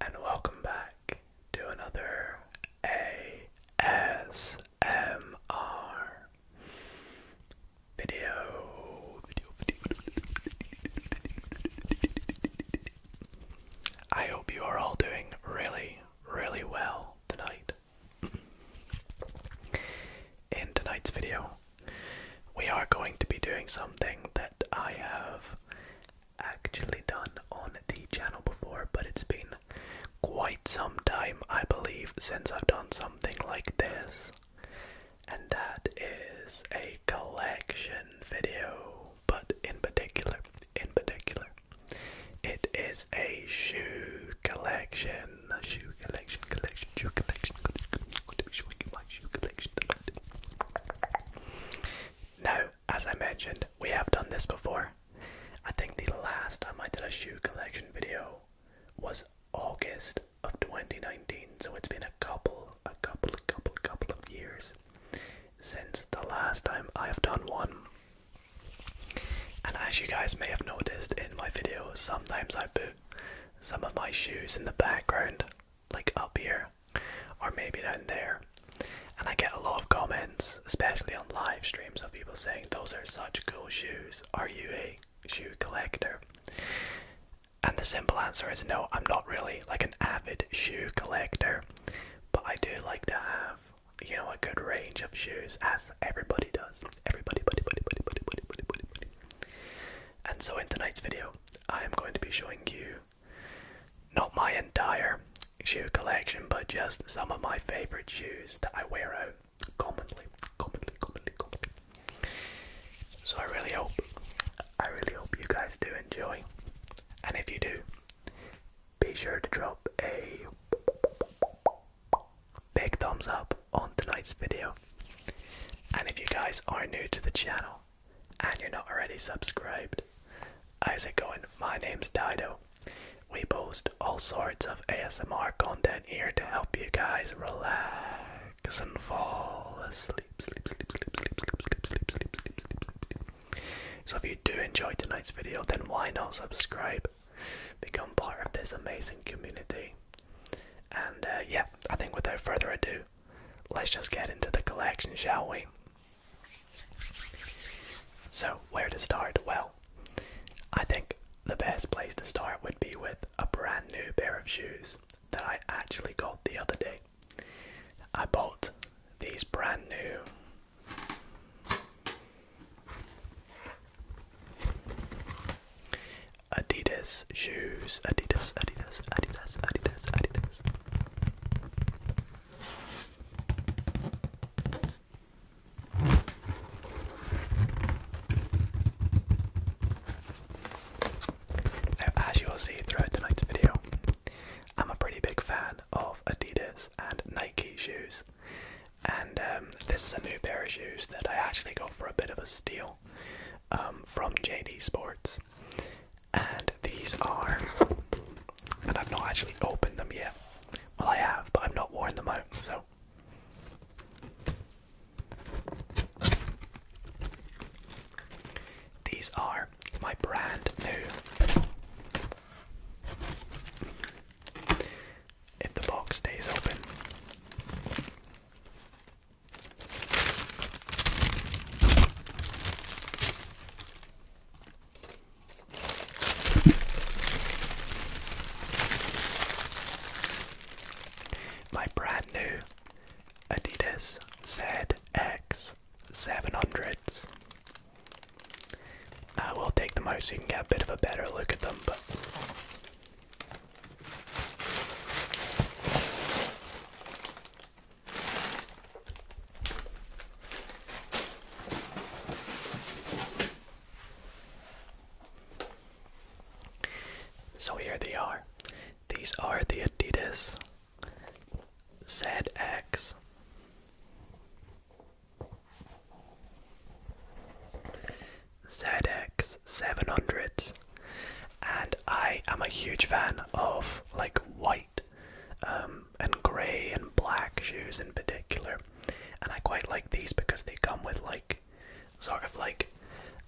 and welcome back to another ASMR video. Video, video, I hope you are all doing really, really well tonight. In tonight's video, we are going to be doing something that I have actually done on the channel before, but it's been quite some time, I believe, since I've done something like this. And that is a collection video, but in particular, in particular, it is a shoe collection, shoe collection, collection, shoe collection. Now, as I mentioned, we have done this before. I think the last time I did a shoe collection video was August of 2019, so it's been a couple, a couple, a couple, couple of years since the last time I have done one. And as you guys may have noticed in my videos, sometimes I put some of my shoes in the background, like up here, or maybe down there. And I get a lot of comments, especially on live streams, of people saying, Those are such cool shoes. Are you a shoe collector? And the simple answer is no, I'm not really like an avid shoe collector, but I do like to have, you know, a good range of shoes, as everybody does. Everybody, buddy, buddy, buddy, buddy, buddy, buddy, buddy. And so, in tonight's video, I am going to be showing you not my entire shoe collection, but just some of my favorite shoes that I wear out commonly, commonly, commonly, commonly. So, I really hope, I really hope you guys do enjoy. And if you do, be sure to drop a big thumbs up on tonight's video. And if you guys are new to the channel, and you're not already subscribed, how's it going? My name's Dido. We post all sorts of ASMR content here to help you guys relax and fall asleep. So if you do enjoy tonight's video, then why not subscribe? Become part of this amazing community. And yeah, I think without further ado, let's just get into the collection, shall we? So, where to start? Well, I think the best place to start would be with a brand new pair of shoes that I actually got the other day. I bought these brand new. Adidas shoes. Adidas, Adidas, Adidas, Adidas, Adidas. Now, as you'll see throughout tonight's video, I'm a pretty big fan of Adidas and Nike shoes, and um, this is a new pair of shoes that I actually got for a bit of a steal um, from JD Sports, and these are, and I've not actually opened them yet. Well, I have, but I've not worn them out, so. These are my brand new. If the box stays open, my brand new Adidas ZX700s. I will take them out so you can get a bit of a better look at them, but. So here they are. These are the Adidas ZX. ZX 700s and I am a huge fan of like white um, and grey and black shoes in particular, and I quite like these because they come with like sort of like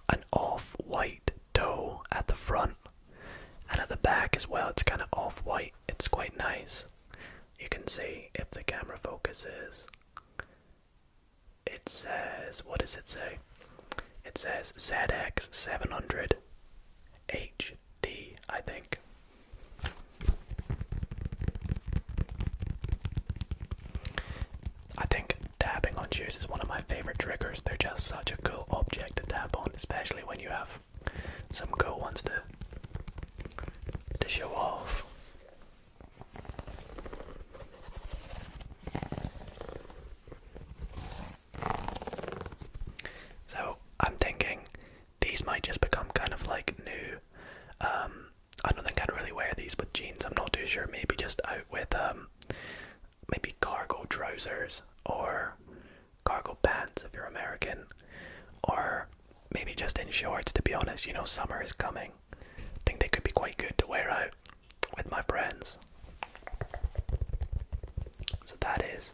an off-white toe at the front and at the back as well. It's kind of off-white. It's quite nice. You can see if the camera focuses. It says, what does it say? it says ZX700 HD, I think. I think tapping on shoes is one of my favorite triggers. They're just such a cool object to tap on, especially when you have some cool ones to to show off. So I'm thinking these might just become kind of like new. Um, I don't think I'd really wear these with jeans. I'm not too sure. Maybe just out with um, maybe cargo trousers or cargo pants if you're American, or maybe just in shorts. To be honest, you know summer is coming. I think they could be quite good to wear out with my friends. So that is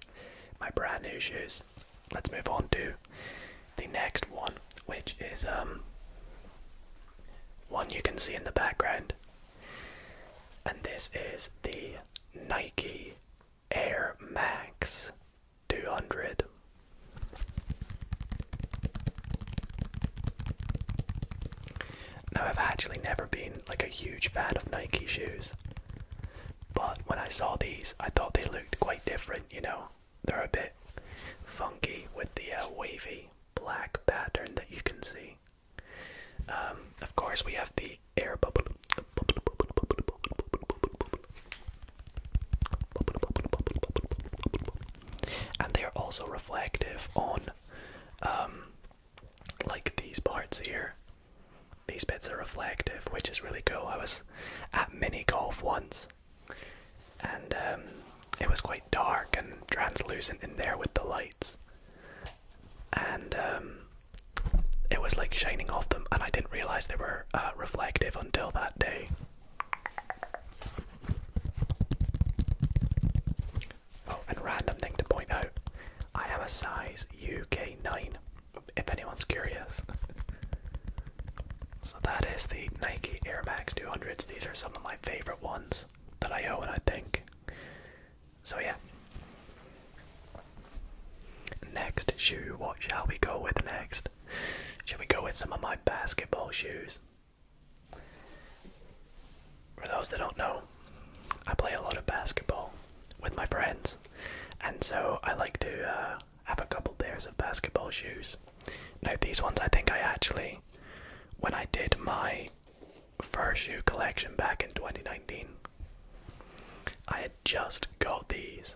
my brand new shoes. Let's move on to the next one, which is um one you can see in the background. And this is the Nike Air Max 200. Now I've actually never been like a huge fan of Nike shoes. But when I saw these, I thought they looked quite different, you know. They're a bit funky with the uh, wavy black pattern that you can see. Um, of course, we have the air bubble. And they are also reflective on um, like these parts here. These bits are reflective, which is really cool. I was at mini golf once, and um, it was quite dark and translucent in there with the lights, and um, it was like shining off them. And I didn't realize they were uh, reflective until that day. Oh, and random thing to point out I am a size UK 9, if anyone's curious. so that is the Nike Air Max 200s. These are some of my favorite ones that I own, I think. So, yeah. Next shoe, what shall we go with next? Shall we go with some of my basketball shoes? for those that don't know, I play a lot of basketball with my friends, and so I like to uh, have a couple pairs of basketball shoes. Now, these ones I think I actually, when I did my first shoe collection back in 2019, I had just got these,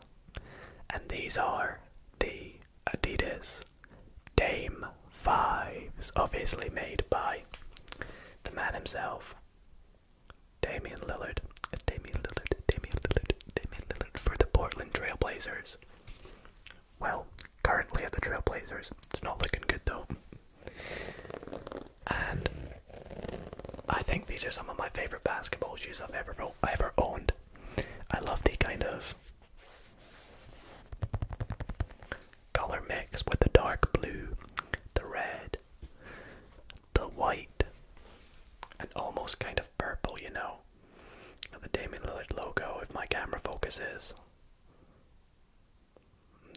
and these are the Adidas Dame Fives, obviously made by the man himself, Damian Lillard. Damian Lillard, Damian Lillard, Damian Lillard for the Portland Trailblazers. Well, currently at the Trailblazers. It's not looking good though. And I think these are some of my favorite basketball shoes I've ever ever owned. I love the kind of color mix with the dark blue, the red, the white, and almost kind of purple, you know. The Damien Lillard logo, if my camera focuses.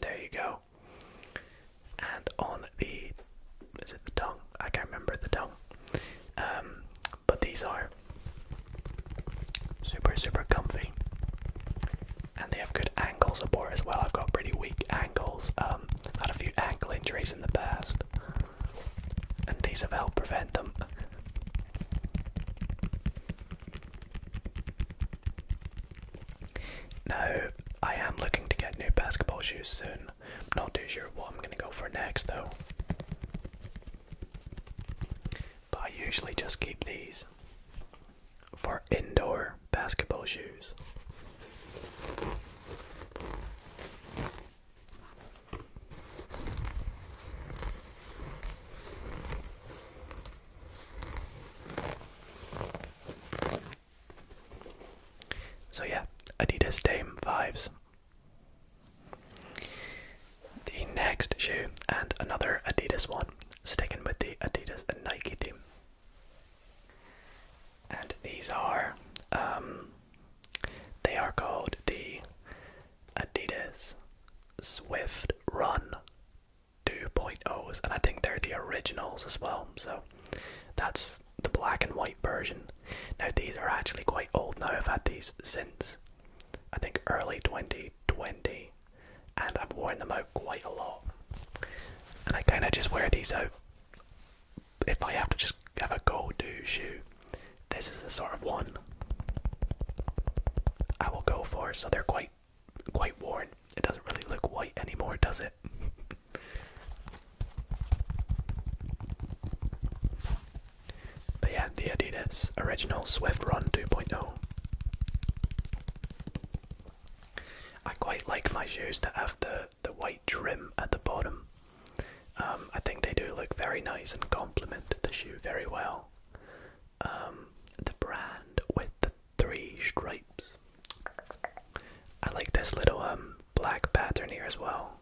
There you go. And on the, is it the tongue? I can't remember the tongue. Um, but these are super, super comfy and they have good ankle support as well. I've got pretty weak ankles. Um, had a few ankle injuries in the past, and these have helped prevent them. Now, I am looking to get new basketball shoes soon. I'm not too sure what I'm going to go for next though. But I usually just keep these for indoor basketball shoes. So yeah, Adidas Dame 5s. The next shoe and another Adidas one, sticking with the Adidas and Nike theme. And these are, um, they are called the Adidas Swift Run 2.0s, and I think they're the originals as well. So that's the black and white version. Now, these are actually quite old now. I've had these since I think early 2020 and I've worn them out quite a lot. And I kind of just wear these out if I have to just have a go do shoe. This is the sort of one I will go for, so they're quite quite worn. It doesn't really look white anymore, does it? but yeah, the Adidas Original Swift Run 2.0. I quite like my shoes that have the the white trim at the bottom. Um, I think they do look very nice and complement the shoe very well. Um, the brand with the three stripes. I like this little um, black pattern here as well.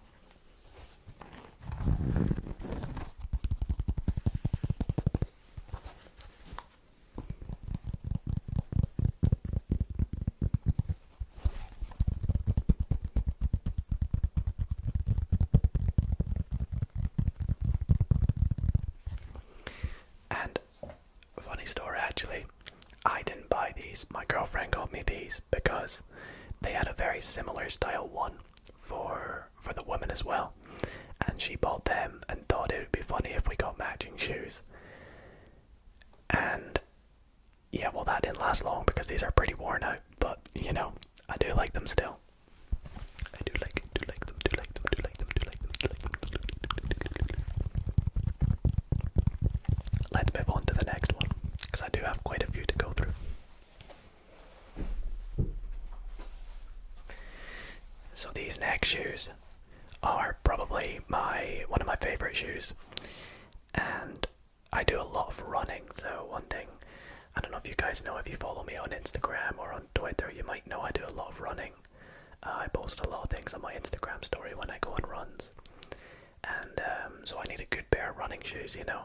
And funny story actually, I didn't buy these. My girlfriend got me these because they had a very similar style one for for the women as well sister, and she bought them and thought it would be funny if we got matching shoes. And yeah, well, that didn't last long because these are pretty worn out, but you know, I do like them still. I do like, do like them, do like them, do like them, do like them, do like them. Do like them. Let's move on to the next one because I do have quite a few to go through. So, these next shoes are probably my one of my favorite shoes. And I do a lot of running, so one thing I don't know if you guys know if you follow me on Instagram or on Twitter, you might know I do a lot of running. Uh, I post a lot of things on my Instagram story when I go on runs, and um, so I need a good pair of running shoes, you know.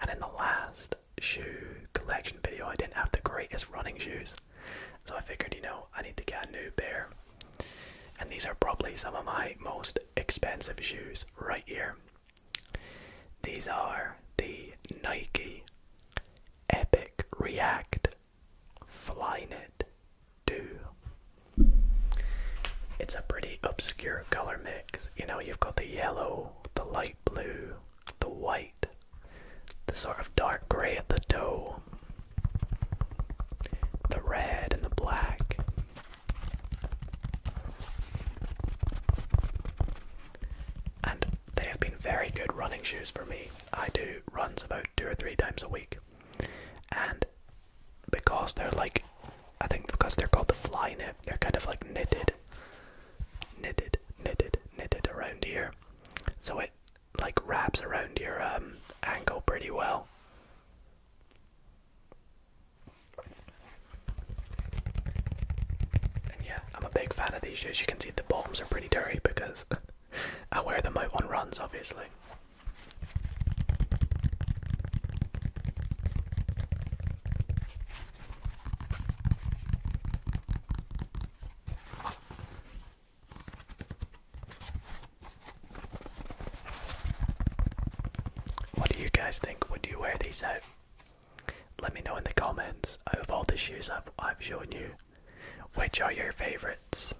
And in the last shoe collection video, I didn't have the greatest running shoes, so I figured, you know, I need to get a new pair. And these are probably some of my most expensive shoes right here. These are the Nike Epic React Flynet 2. It's a pretty obscure color mix. You know, you've got the yellow, the light blue, the white, the sort of dark gray at the toe, the red and the black. And they have been very good running shoes for me. I do runs about two or three times a week. And because they're like, I think because they're called the fly knit, they're kind of like knitted, knitted, knitted, knitted around here. So it like wraps around your um, ankle pretty well. And yeah, I'm a big fan of these shoes. You can see the bottoms are pretty dirty because I wear them out on runs, obviously. What do you guys think? Would you wear these out? Let me know in the comments of all the shoes I've, I've shown you, which are your favorites?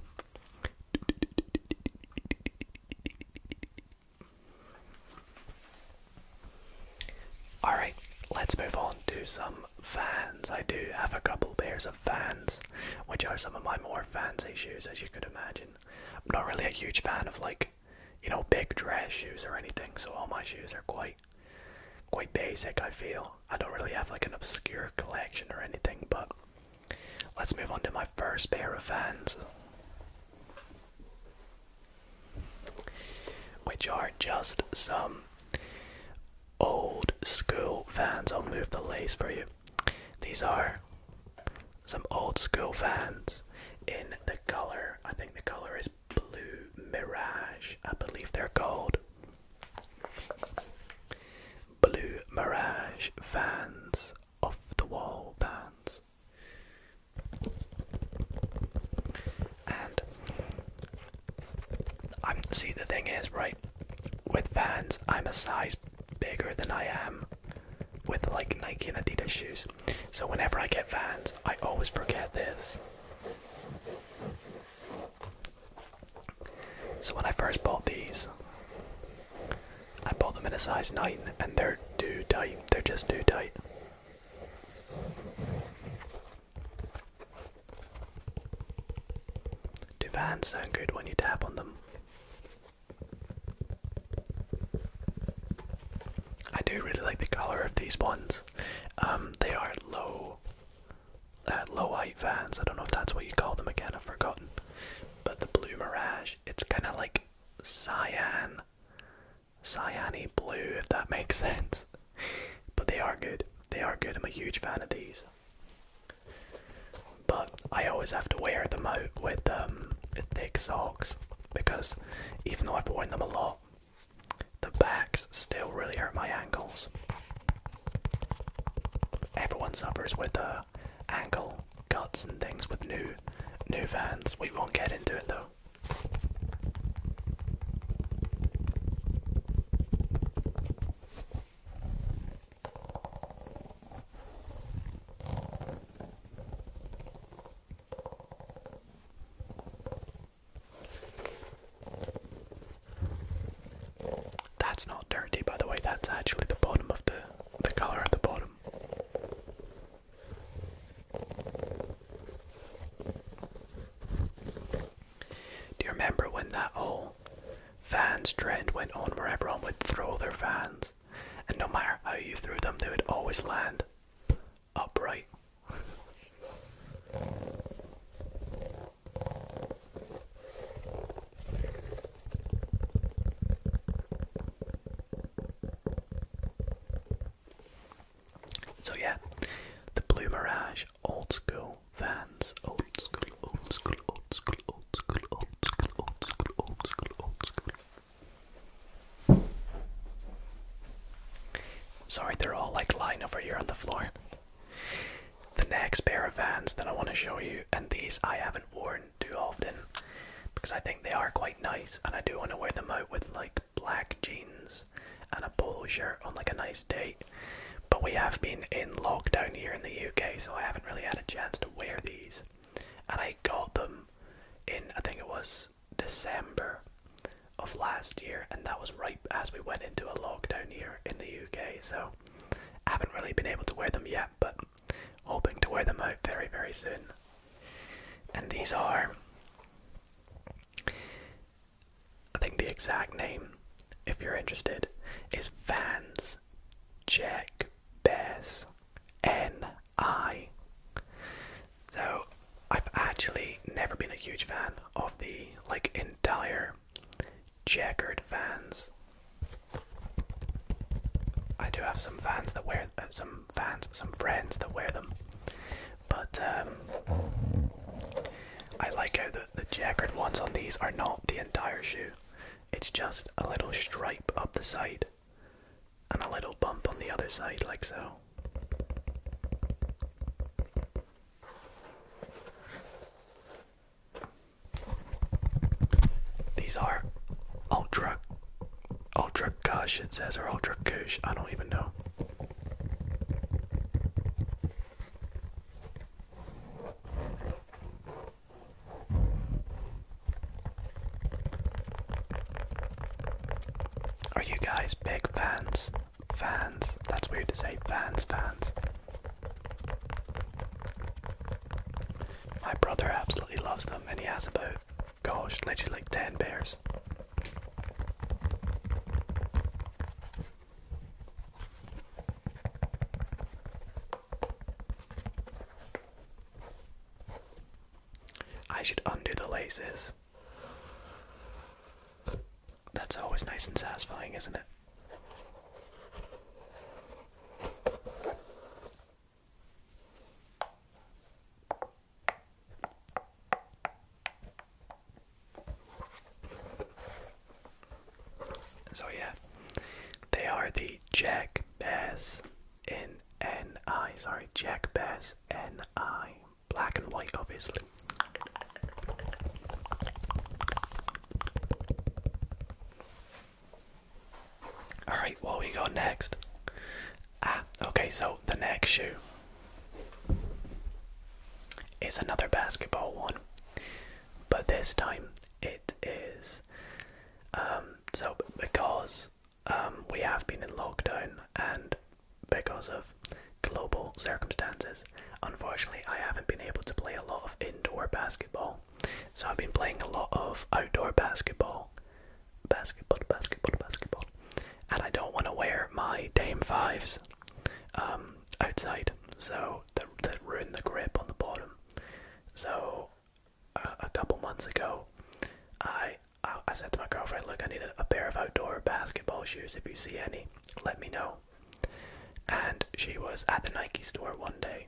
Alright, let's move on to some fans. I do have a couple pairs pairs Vans, which are some of my more fancy shoes, as you could imagine. I'm not really a huge fan of like, you know, big dress shoes or anything, so all my shoes are quite, quite basic. I feel I don't really have like an obscure collection or anything, but let's move on to my first pair of Vans. Which are just some old school fans. I'll move the lace for you. These are some old school fans in the color. I think the color is blue mirage. I believe they're called blue mirage fans off the wall fans. And i see the thing is right with Vans I'm a size bigger than I am with like Nike and Adidas shoes. So whenever I get Vans, I always forget this. So when I first bought these, I bought them in a size 9 and they're too tight. They're just too tight. Do vans sound good when you tap on them? I do really like the color of these ones. Um, they are low, uh, low height fans. I don't know if that's what you call them again. I've forgotten. But the blue mirage, it's kind of like cyan, cyany blue, if that makes sense. But they are good. They are good. I'm a huge fan of these. But I always have to wear them out with um, thick socks because even though I've worn them a lot, the backs still really hurt my ankles. Everyone suffers with the uh, ankle cuts and things with new new vans. We won't get into it though. That's not dirty, by the way, that's actually the bottom of the the color at the bottom. Do you remember when that whole fans trend went on where everyone would throw their fans? And no matter how you threw them, they would always land upright. So, yeah, the Blue Mirage old school vans. old school, old school, old school, old school, old school, old school, old school. Sorry, they're all like lying over here on the floor. The next pair of vans that I want to show you, and these I haven't worn too often because I think they are quite nice and I do want to wear them out with like black jeans and a polo shirt on like a nice day but we have been in lockdown here in the UK, so I haven't really had a chance to wear these. And I got them in, I think it was December of last year, and that was right as we went into a lockdown here in the UK, so I haven't really been able to wear them yet, but hoping to wear them out very, very soon. And these are I think the exact name, if you're interested, is Vans Jack Bass N.I. So I've actually never been a huge fan of the like entire checkered Vans. I do have some fans that wear uh, some fans, some friends that wear them, but um, I like how the the checkered ones on these are not the entire shoe. It's just a little stripe up the side and a little bump on the other side, like so. These are ultra, ultra gush, it or ultra goosh, I don't even know. Are you guys big fans? Fans? That's weird to say. Fans, fans. My brother absolutely loves them and he has about, gosh, literally like 10 pairs. I should undo the laces. That's always nice and satisfying, isn't it? So yeah, they are the Jack Bass in NI. Sorry, Jack Bass NI. Black and white, obviously. Alright, what we go next? Ah, okay, so the next shoe is another basketball one but this time it is. Um, so, because um, we have been in lockdown and because of global circumstances, unfortunately, I haven't been able to play a lot of indoor basketball. So, I've been playing a lot of outdoor basketball. Basketball, basketball, basketball. And I don't want to wear my Dame 5s um, outside. So, know, ruin the grip on the bottom. So uh, a couple months ago, I, I said to my girlfriend, "Look, I need a, pair of outdoor basketball shoes. If you see any, let me know." And she was at the Nike store one day,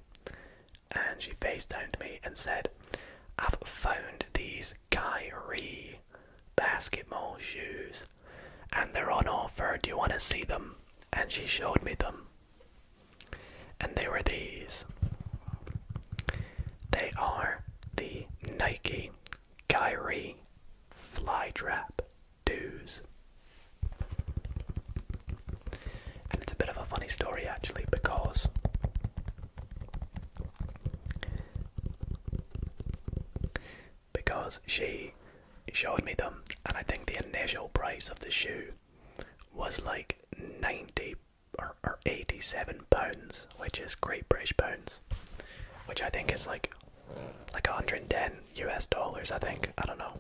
and she FaceTimed me and said, "I've found these Kyrie basketball shoes and they're on offer. Do you want to see them? And she showed me them. And they were these. They are the Nike Kyrie Flytrap Doos. And it's a bit of a funny story actually because because she showed me them, and I think the initial price of the shoe was like 90 or, or 87 pounds, which is Great British pounds, which I think is like like 110 US dollars, I think. I don't know.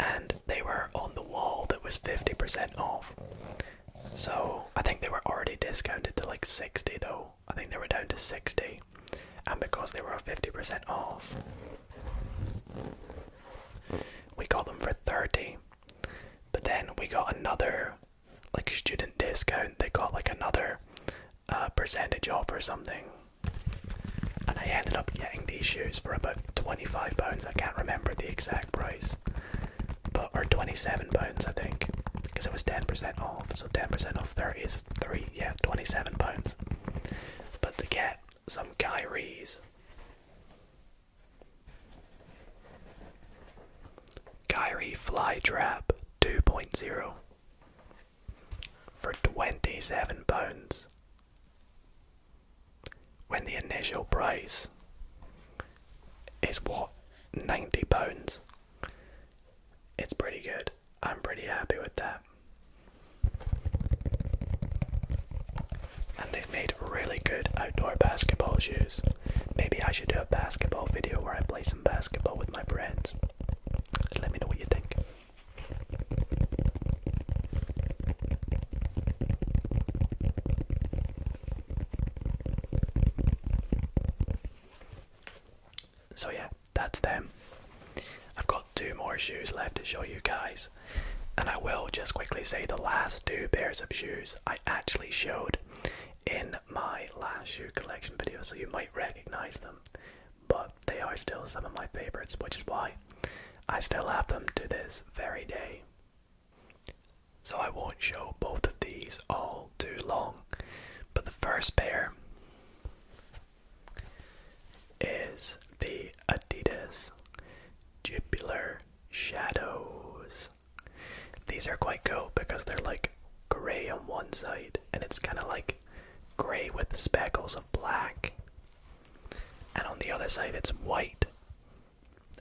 And they were on the wall that was 50% off. So I think they were already discounted to like 60 though. I think they were down to 60 and because they were 50% off, we got them for 30. But then we got another like student discount. They got like another uh, percentage off or something. And I ended up getting these shoes for about 25 pounds. I can't remember the exact price. But or 27 pounds I think because it was 10% off. So 10% off there is three, yeah, twenty-seven pounds. But to get some Kyrie's, Kyrie Fly Trap 2.0 for twenty-seven pounds, when the initial price is what ninety pounds. It's pretty good. I'm pretty happy with that. And they've made really good outdoor basketball shoes. Maybe I should do a basketball video where I play some basketball with my friends. let me know what you think. So yeah, that's them. I've got two more shoes left to show you guys. And I will just quickly say the last two pairs of shoes I actually showed in my last shoe collection video, so you might recognize them. But they are still some of my favorites, which is why I still have them to this very day. So I won't show both of these all too long. But the first pair is the Adidas Jubular Shadows. These are quite cool because they're like gray on one side and it's kind of like gray with speckles of black. And on the other side it's white.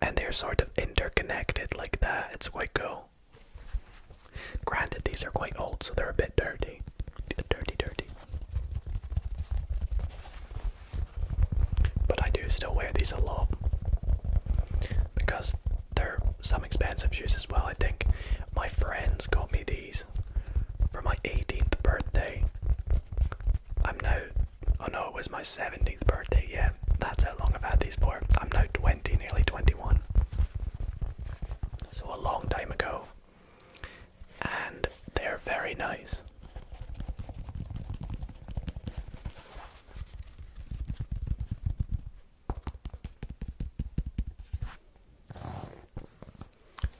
And they're sort of interconnected like that. It's quite cool. Granted, these are quite old, so they're a bit dirty. Dirty, dirty. But I do still wear these a lot because they're some expensive shoes as well. I think my friends got me these for my 18th birthday. I'm now, oh no, it was my 17th birthday. Yeah, that's how long I've had these for. I'm now 20, nearly 21. So a long time ago and they're very nice.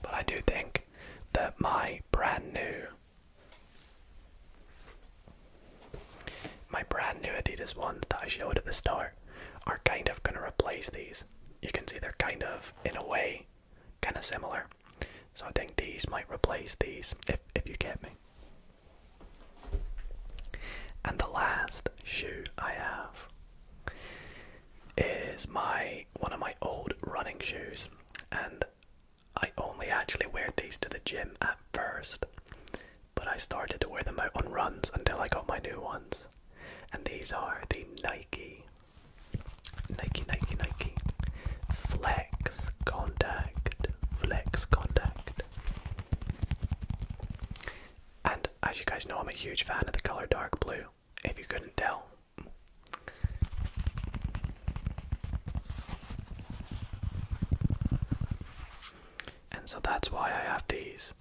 But I do think that my brand new my brand new Adidas ones that I showed at the store, are kind of going to replace these you can see they're kind of, in a way, kind of similar. So I think these might replace these, if, if you get me. And the last shoe I have is my one of my old running shoes, and I only actually wear these to the gym at first, but I started to wear them out on runs until I got my new ones. And these are the Nike Nike, Nike, Nike. Flex contact. Flex contact. And as you guys know, I'm a huge fan of the color dark blue, if you couldn't tell. And so that's why I have these.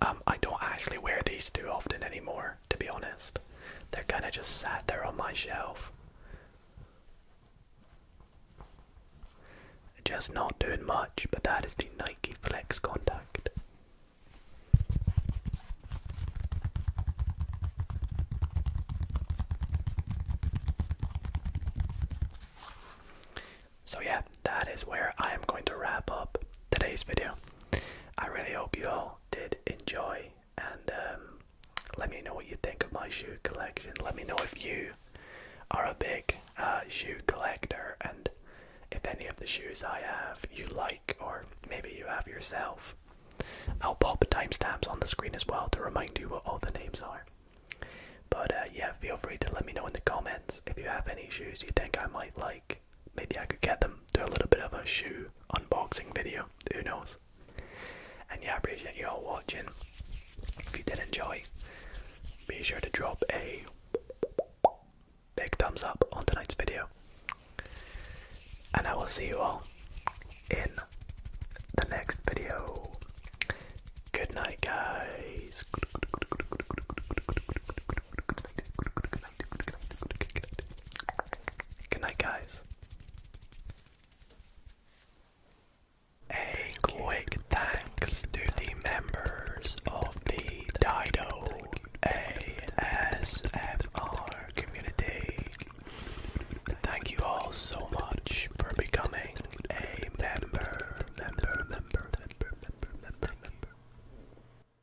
Um, I don't actually wear these too often anymore, to be honest. They're kind of just sat there on my shelf. Just not doing much, but that is the Nike Flex Contact. So, yeah, that is where I am going to wrap up today's video. I really hope you all did enjoy and um, let me know what you think of my shoe collection. Let me know if you are a big uh, shoe collector and if any of the shoes I have you like or maybe you have yourself. I'll pop timestamps on the screen as well to remind you what all the names are. But uh, yeah, feel free to let me know in the comments if you have any shoes you think I might like maybe I could get them do a little bit of a shoe unboxing video. Who knows? And yeah, appreciate you all watching. If you did enjoy, be sure to drop a big thumbs up on tonight's video. And I will see you all in the next video. Good night, guys good night, guys. A quick thanks to the members of the Dido ASMR community. Thank you all so much for becoming a member.